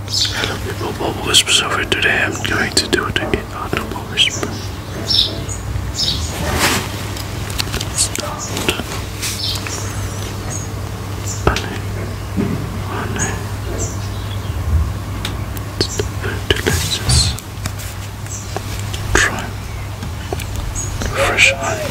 Hello people, Bubble Whisper over today I'm going to do the inaudible whisper. Let's start. Honey, honey. It's delicious. Try. Fresh honey.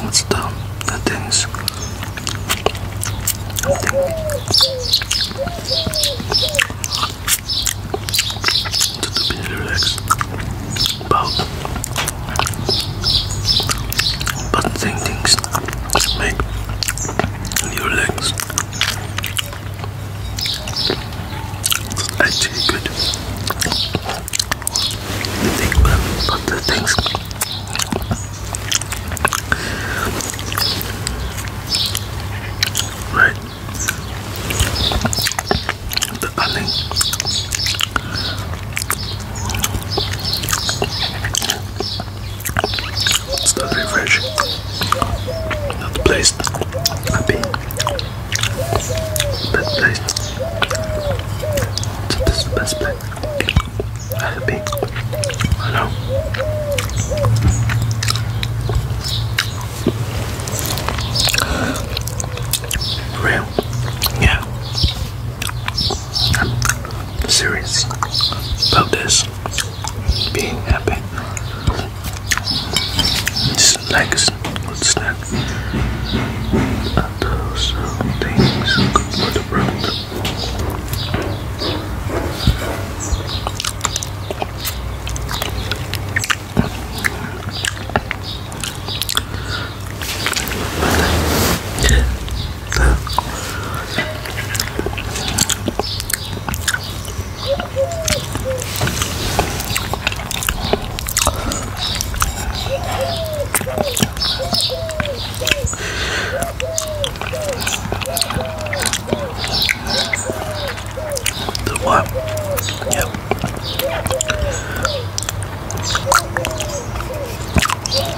What's the the things? Just a bit relaxed about but things make your legs. It's actually good. You think about the things. Right. The onion. It's not refreshing. Not the place i Best place. So the best place I have Real? Yeah. I'm serious about this being happy. Just like what's that? Those things good for the world. The what? Yep. Yeah.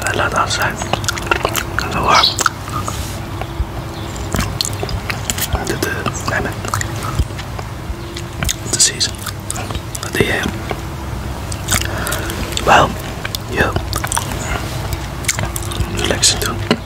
I love outside. And the the, the The season. the air. Well, yeah. Relaxing too.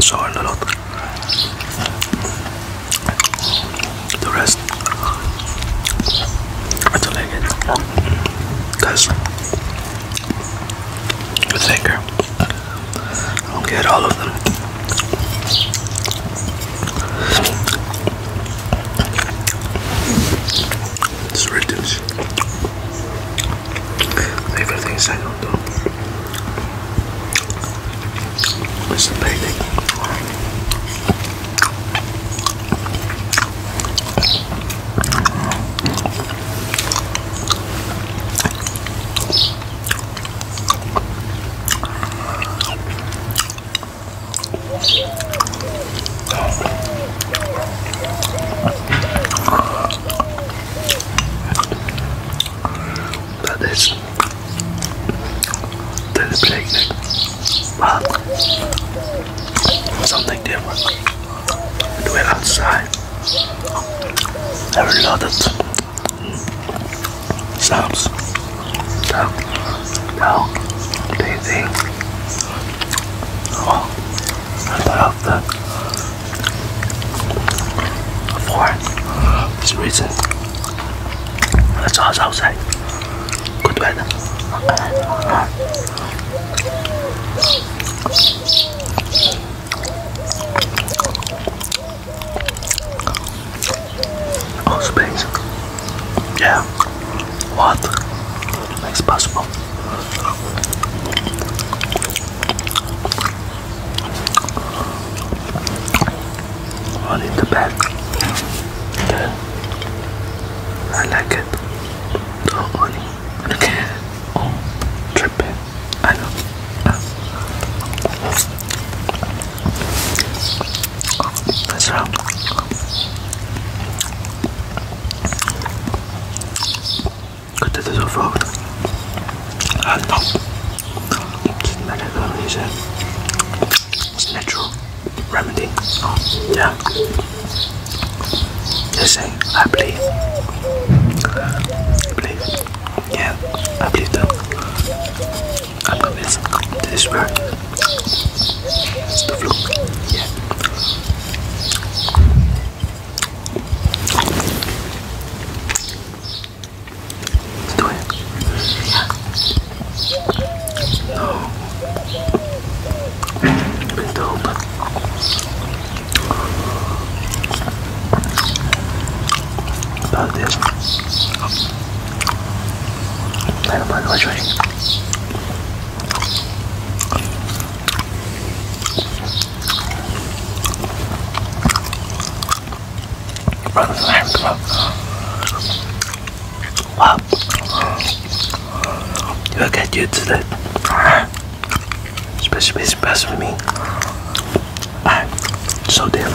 Sour a lot. The rest, I don't like it because it's thicker. I do get all of them. It's ridiculous. Favorite I don't do is painting. That is that is picnic, something different. We do outside. There are sounds. Now, do you think? Oh, of the for this reason. Let's outside. Good weather. Oh, space. Yeah. What? It's possible. All in the back. Good. I like it. Oh, honey. Look at I know. What's wrong? 그때 드셔서 아, no. It's medical, is it? natural remedy. yeah. They say, I believe. believe. Yeah, I believe them. I'm not this. This is where it's the flu. Yeah. Let's do it. About this. I don't us try it. Brothers and Harry, come up. You look at you today. Especially best for me. so different.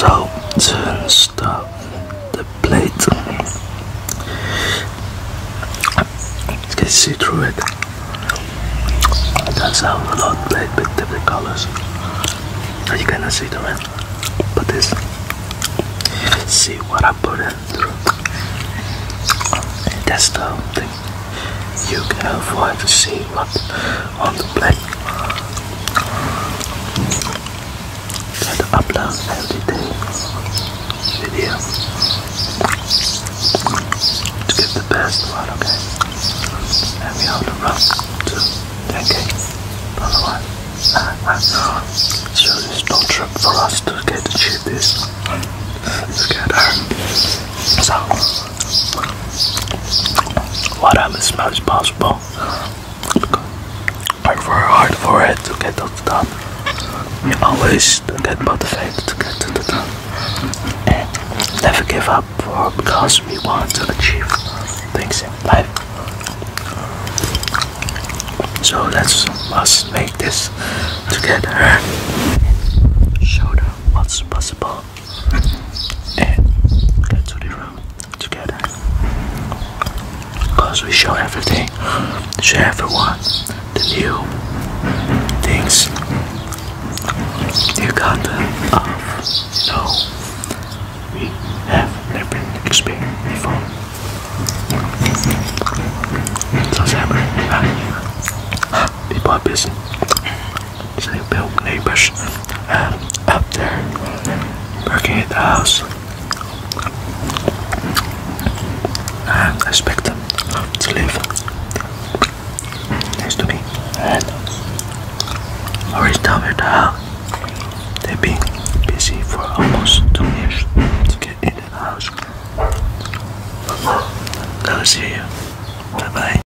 So to stop the plate, you can see through it. That's how a lot played with different colors. You cannot see the red, but this. See what I put it through. that's the thing you can avoid to see what on the plate. Try to upload every day video to get the best okay? And we have the rough to 10k follower. So it's no trip for us to get to achieve this together. Um, so a lot of as much as possible. Work very hard for it to get to the top. We always get motivated to get to the top. And never give up for because we want to achieve things in life. So let's must make this together. and Show them what's possible and get to the room together. Cause we show everything, show everyone the new things, You new content of so we have never experienced before. So Sam, people are busy new built neighbors um, up there working at the house. Um, I expect them to live next to me. And already told me that they've been busy for almost two years to get in the house. That was here. Bye bye.